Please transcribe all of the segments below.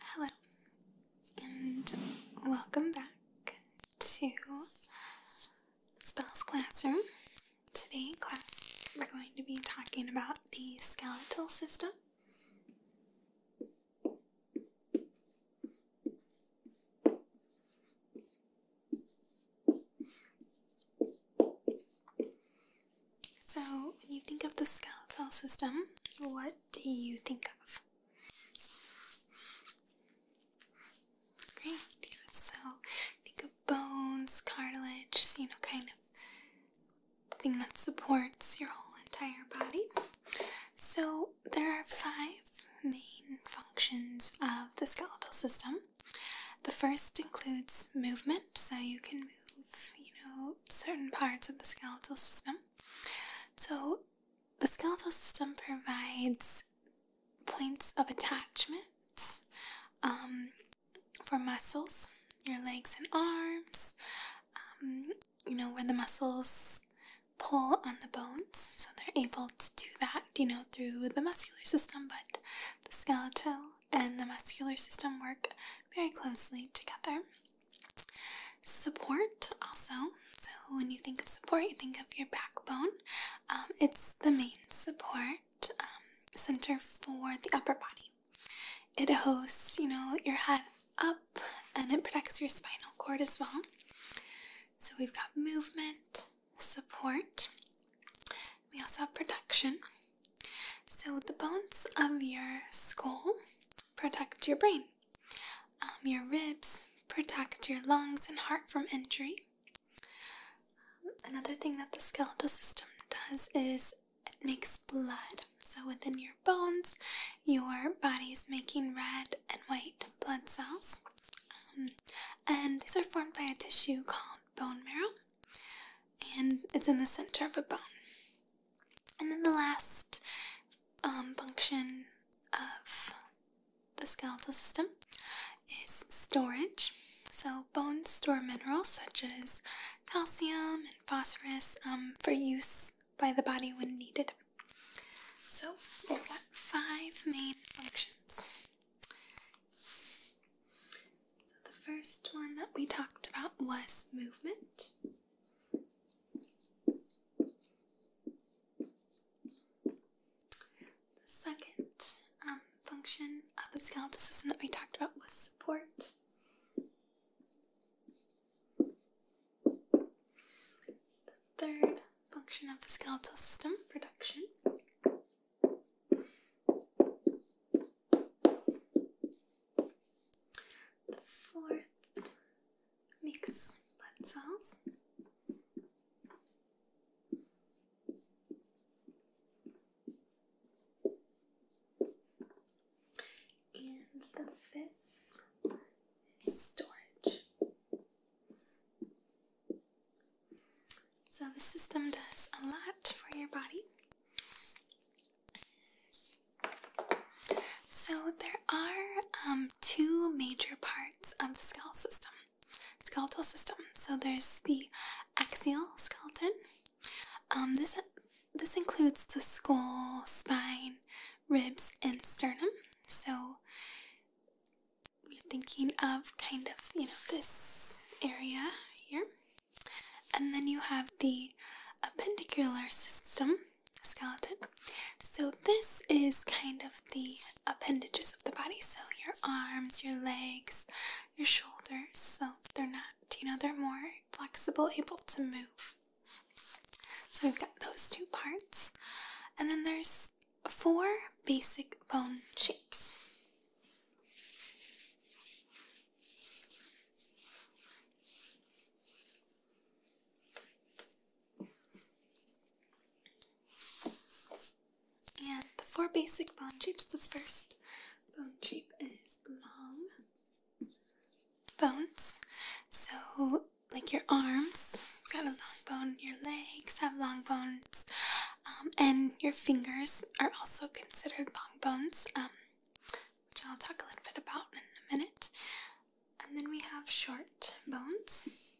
Hello, and welcome back to Spells Classroom. Today in class, we're going to be talking about the skeletal system. So, when you think of the skeletal system, what do you think of? Great, so think of bones, cartilage, you know, kind of thing that supports your whole entire body. So, there are five main functions of the skeletal system. The first includes movement, so you can move, you know, certain parts of the skeletal system. So, the skeletal system provides points of attachment um, for muscles, your legs and arms, um, you know, where the muscles pull on the bones. So, they're able to do that, you know, through the muscular system, but the skeletal and the muscular system work very closely together. Support also. So, when you think of support, you think of your backbone. Um, it's the main support um, center for the upper body. It hosts, you know, your head up and it protects your spinal cord as well. So, we've got movement, support, we also have production. So, the bones of your skull protect your brain, um, your ribs protect your lungs and heart from injury. another thing that the skeletal system does is it makes blood. So, within your bones, your body is making red and white blood cells. Um, and these are formed by a tissue called bone marrow and it's in the center of a bone. And then the last um, function of the skeletal system is storage. So, bones store minerals such as calcium and phosphorus um, for use by the body when needed. So, we've got five main functions. So the first one that we talked about was movement. The second um, function of the skeletal system that we talked about was support. The third function of the skeletal system, production, the fourth mix blood cells. And the fifth is storage. So, the system does a lot for your body. So, there are um, two major parts of the skull system, skeletal system. So, there's the axial skeleton. Um, this this includes the skull, spine, ribs, and sternum. So you're thinking of kind of you know this area here. And then you have the appendicular system, skeleton. So this is kind of the appendages of the body. So your arms, your legs, your shoulders. So they're not, you know, they're more flexible, able to move. So we've got those two parts. And then there's four basic bone shapes. And the four basic bone shapes. The first bone shape is long bones. So, like your arms, got a long bone, your legs have long bones, um, and your fingers are also considered long bones, um, which I'll talk a little bit about in a minute. And then we have short bones.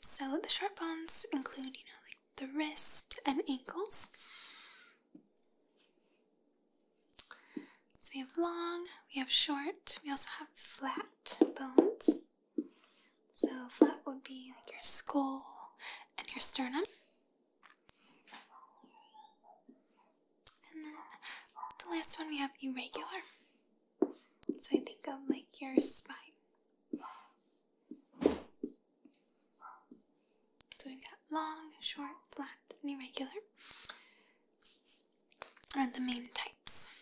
So the short bones include, you know, like the wrist and ankles. So we have long, we have short, we also have flat bones. So flat would be like your skull and your sternum. And then the last one we have irregular. So I think of like your spine. So we've got long, short, flat, and irregular are the main types.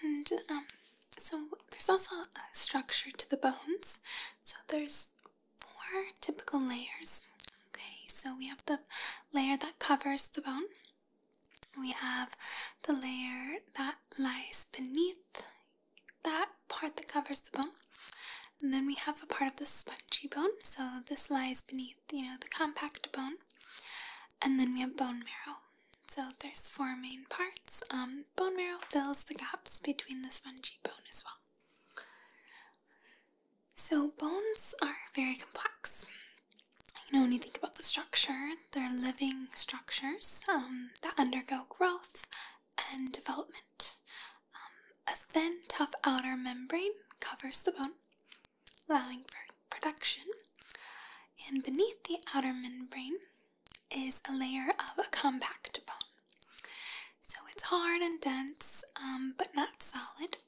And um, so there's also a structure to the bones. So there's four typical layers. Okay, so we have the layer that covers the bone, we have the layer that lies beneath that part that covers the bone. And then we have a part of the spongy bone. So this lies beneath, you know, the compact bone. And then we have bone marrow. So there's four main parts. Um, bone marrow fills the gaps between the spongy bone as well. So bones are very complex you know, when you think about the structure, they're living structures um, that undergo growth and development. Um, a thin, tough outer membrane covers the bone, allowing for production, and beneath the outer membrane is a layer of a compact bone. So it's hard and dense, um, but not solid,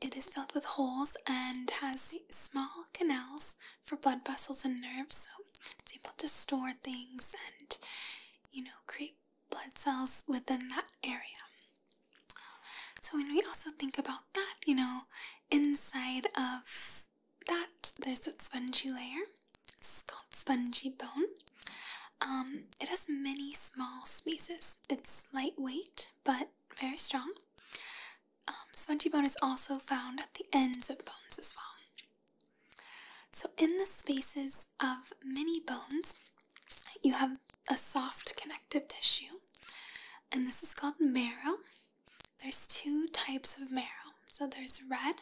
it is filled with holes and has small canals for blood vessels and nerves, so it's able to store things and, you know, create blood cells within that area. So, when we also think about that, you know, inside of that, there's that spongy layer. It's called spongy bone. Um, it has many small spaces. It's lightweight but very strong. Um, spongy bone is also found at the ends of bones as well. So, in the spaces of many bones, you have a soft connective tissue, and this is called marrow. There's two types of marrow. So, there's red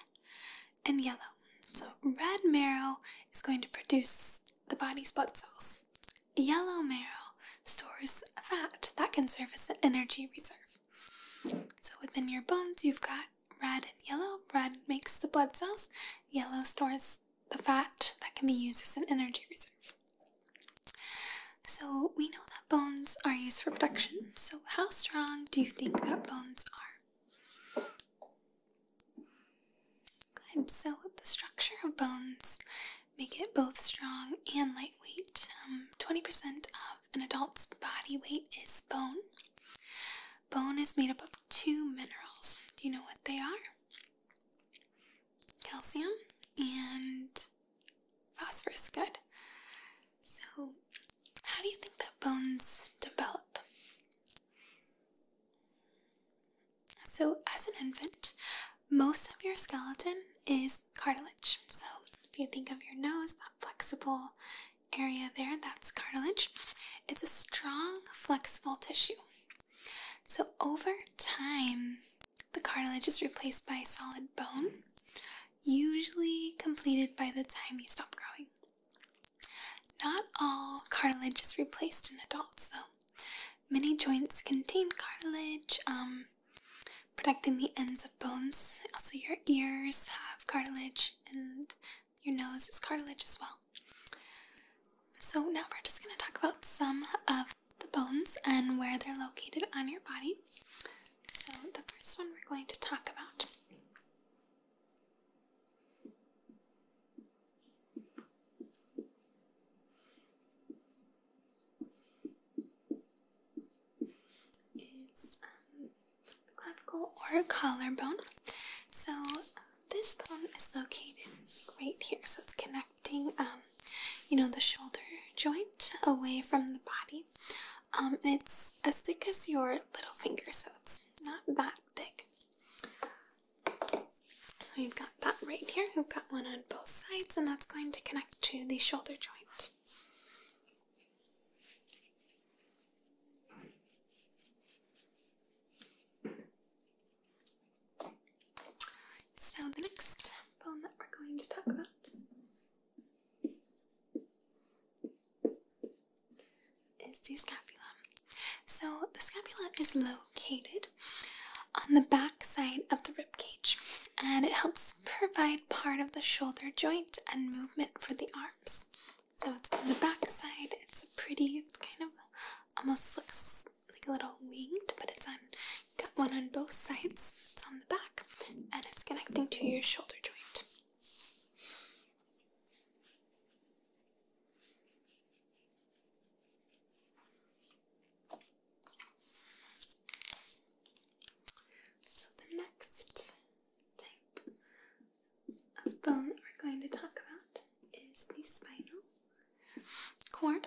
and yellow. So, red marrow is going to produce the body's blood cells, Yellow marrow stores fat that can serve as an energy reserve. So within your bones, you've got red and yellow. Red makes the blood cells, yellow stores the fat that can be used as an energy reserve. So we know that bones are used for protection. So, how strong do you think that bones are? Good, so the structure of bones make it both strong and lightweight. 20% um, of an adult's body weight is bone. Bone is made up of two minerals. Do you know what they are? Calcium and phosphorus. Good. So, how do you think that bones develop? So, as an infant, most of your skeleton is cartilage. So, if you think of your nose, that flexible area there, that's cartilage. It's a strong, flexible tissue. So, over time, the cartilage is replaced by solid bone, usually completed by the time you stop growing. Not all cartilage is replaced in adults, though. Many joints contain cartilage, um, protecting the ends of bones. Also, your ears have cartilage, and your nose is cartilage as well. So, now we're just going to talk about some of the bones and where they're located on your body. So, the first one we're going to talk about it's um, clavicle or collarbone. So this bone is located right here, so it's connecting, um, you know, the shoulder joint away from the body. Um, and it's as thick as your little finger, so it's not that big. So we've got that right here, we've got one on both sides, and that's going to connect to the shoulder joint. So the next bone that we're going to talk about is the scapula. So the scapula is low located on the back side of the rib cage, and it helps provide part of the shoulder joint and movement for the arms. So it's on the back side. It's a pretty kind of almost looks like a little winged, but it's on got one on both sides. It's on the back, and it's connecting to your shoulder joint. So, the next type of bone we're going to talk about is the spinal cord.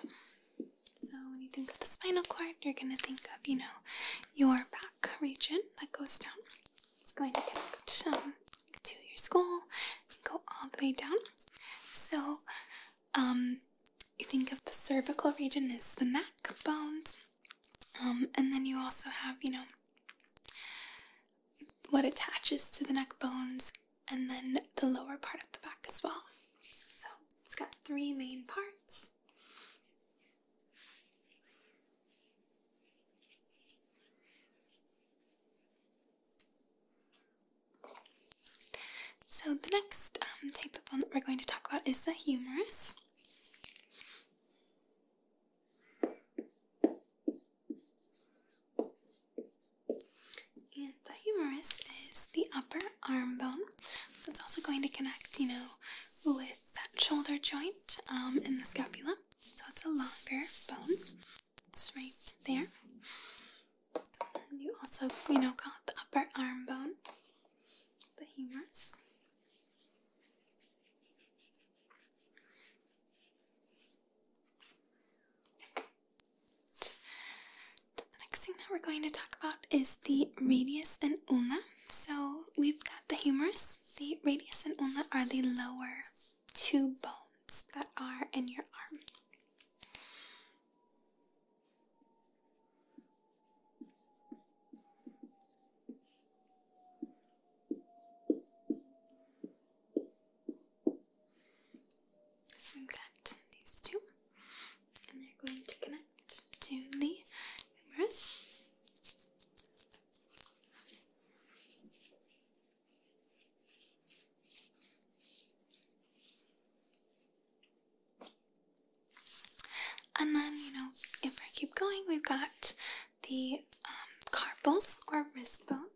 So, when you think of the spinal cord, you're going to think of, you know, your back region that goes down. It's going to connect um, to your skull and go all the way down. So, um, you think of the cervical region as the neck bones, um, and then you also have, you know, what attaches to the neck bones, and then the lower part of the back as well. So, it's got three main parts. So the next um, type of bone that we're going to talk about is the humerus. And the humerus is the upper arm bone. It's also going to connect, you know, with that shoulder joint um, and the scapula. So it's a longer bone. It's right there. you also, you know, got the upper arm bone, the humerus. The next thing that we're going to talk about is the radius and ulna. So we've got the humerus. The radius and ulna are the lower two bones that are in your arm. So we these two, and they're going to connect to the humerus. And then, you know, if I keep going, we've got the um, carpals or wrist bones.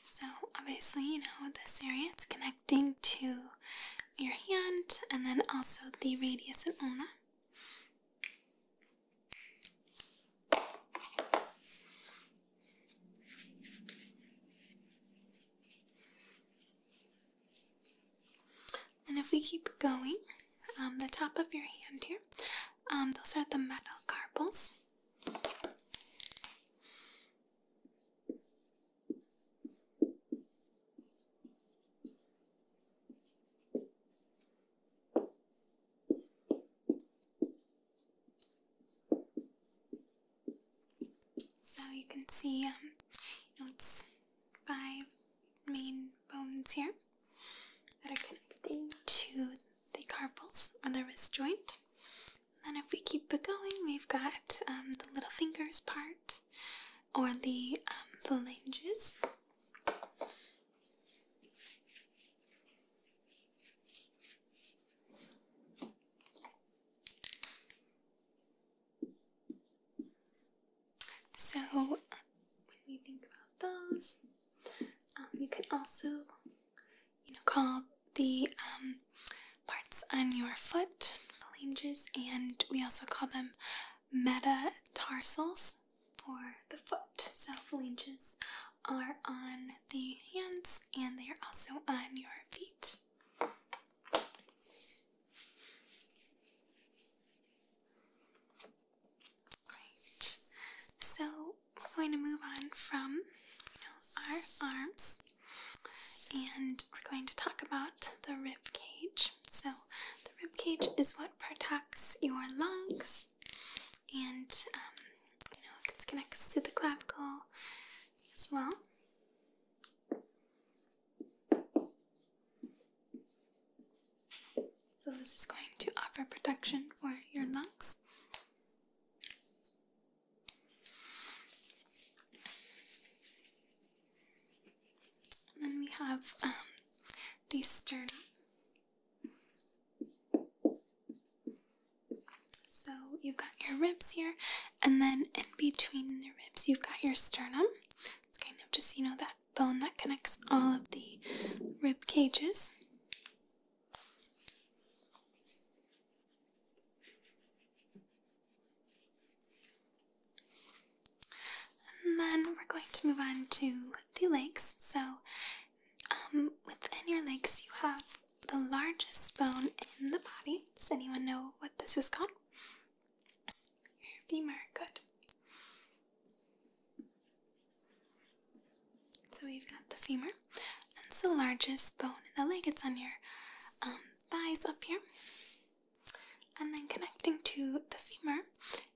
So, obviously, you know, this area it's connecting to your hand and then also the radius and ulna. And if we keep going, um, the top of your hand here. Um, those are the metacarpals. So you can see, um, it's five main bones here that are connecting to the carpals on the wrist joint. And then if we keep it going, we've got um, the little fingers part or the phalanges. Um, so uh, when we think about those, um, you can also, you know, call the um, parts on your foot phalanges, and we also call them metatarsals for the foot. So phalanges are on the hands, and they are also on your feet. Great. So we're going to move on from our arms and we're going to talk about the rib cage. So the rib cage is what protects your lungs and um, you know it connects to the clavicle as well. So this is going to offer protection for your lungs. And then we have um, the sternum. So you've got your ribs here, and then in between the ribs, you've got your sternum. It's kind of just, you know, that bone that connects all of the rib cages. And then we're going to move on to the legs. So, um, within your legs, you have the largest bone in the body. Does anyone know what this is called? Your femur, good. So we've got the femur. And it's the largest bone in the leg. It's on your um, thighs up here. And then connecting to the femur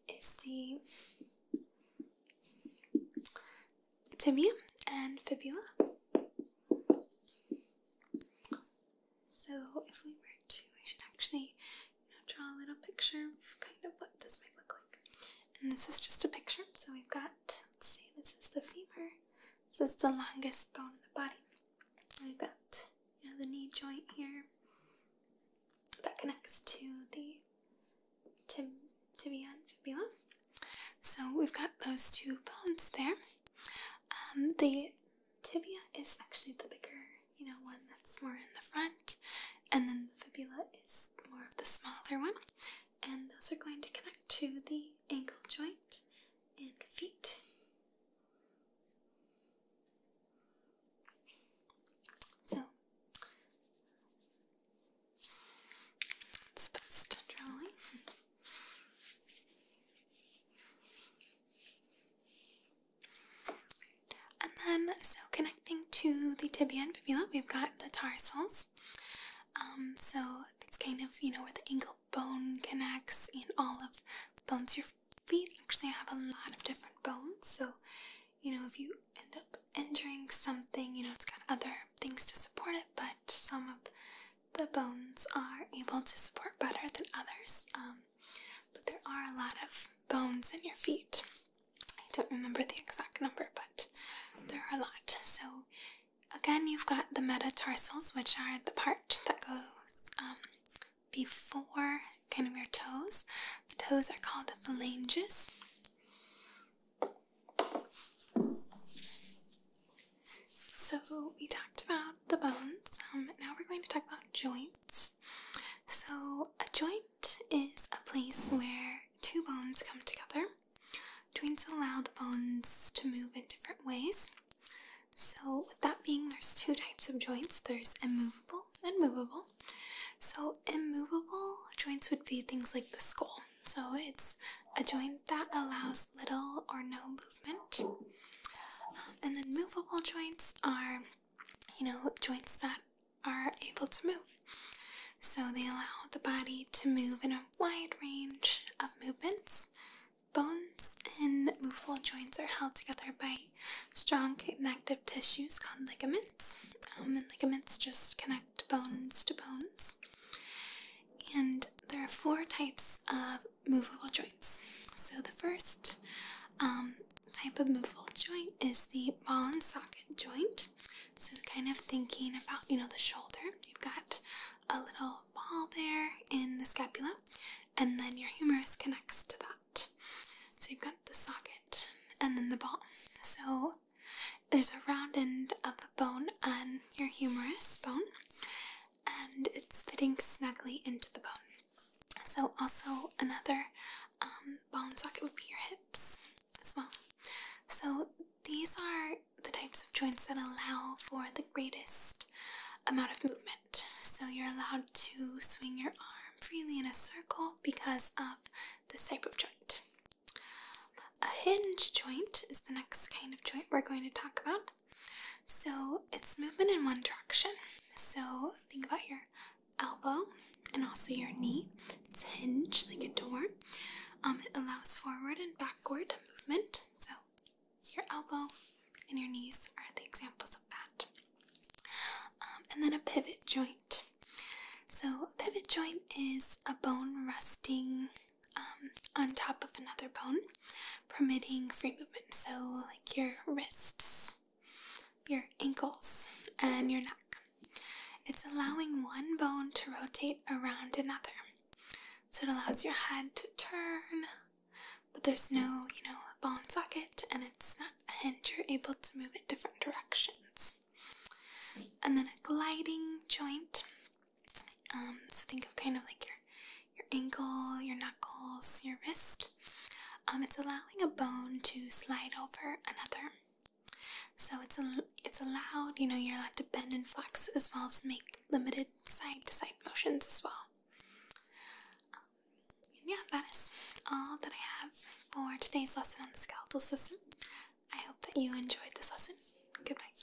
is the tibia and fibula. So if we were to, I should actually draw a little picture of kind of what this might look like. And this is just a picture. So we've got, let's see, this is the femur. This is the longest bone in the body. We've got you know, the knee joint here that connects to the tib tibia and fibula. So we've got those two bones there. Um, the tibia is actually the bigger, you know, one that's more in the front, and then the fibula is more of the smaller one, and those are going to connect to the ankle joint and feet. So it's best drawing. And then, so connecting to the tibia and fibula, we've got the tarsals. Um, so it's kind of, you know, where the ankle bone connects and all of the bones. Your feet actually have a lot of different bones, so, you know, if you end up injuring something, you know, it's got other things to support it, but some of the bones are able to support better than others. Um, but there are a lot of bones in your feet. I don't remember the exact number, but there are a lot. So, again, you've got the metatarsals, which are the part that goes um, before kind of your toes. The toes are called the phalanges. So, we talked about the bones. Um, now we're going to talk about joints. So, a joint is a place where two bones come together. Joints allow the bones to move in different ways. So, with that being, there's two types of joints there's immovable and movable. So, immovable joints would be things like the skull. So, it's a joint that allows little or no movement and then movable joints are, you know, joints that are able to move. So they allow the body to move in a wide range of movements. Bones and movable joints are held together by strong connective tissues called ligaments. Um, and ligaments just connect bones to bones. And there are four types of movable joints. So the first um, type of movable joint is the ball and socket joint. So kind of thinking about, you know, the shoulder, you've got a little ball there in the scapula and then your humerus connects to that. So you've got the socket and then the ball. So there's a round end of a bone on your humerus bone and it's fitting snugly into the bone. So, also another um, bone socket would be your hips as well. So, these are the types of joints that allow for the greatest amount of movement. So, you're allowed to swing your arm freely in a circle because of this type of joint. A hinge joint is the next kind of joint we're going to talk about. So it's movement in one direction. So think about your elbow and also your knee. It's hinge like a door. Um, it allows forward and backward movement. So your elbow and your knees are the examples of that. Um, and then a pivot joint. So a pivot joint is a bone resting um, on top of another bone, permitting free movement. So, like your wrists, your ankles, and your neck. It's allowing one bone to rotate around another. So it allows your head to turn, but there's no, you know, ball and socket, and it's not a hinge. You're able to move it different directions. And then a gliding joint. Um, so think of kind of like your your ankle, your knuckles, your wrist. Um, it's allowing a bone to slide over another. So it's a, it's allowed. You know, you're allowed to bend and flex as well as make limited side to side motions as well. Um, yeah, that is all that I have for today's lesson on the skeletal system. I hope that you enjoyed this lesson. Goodbye.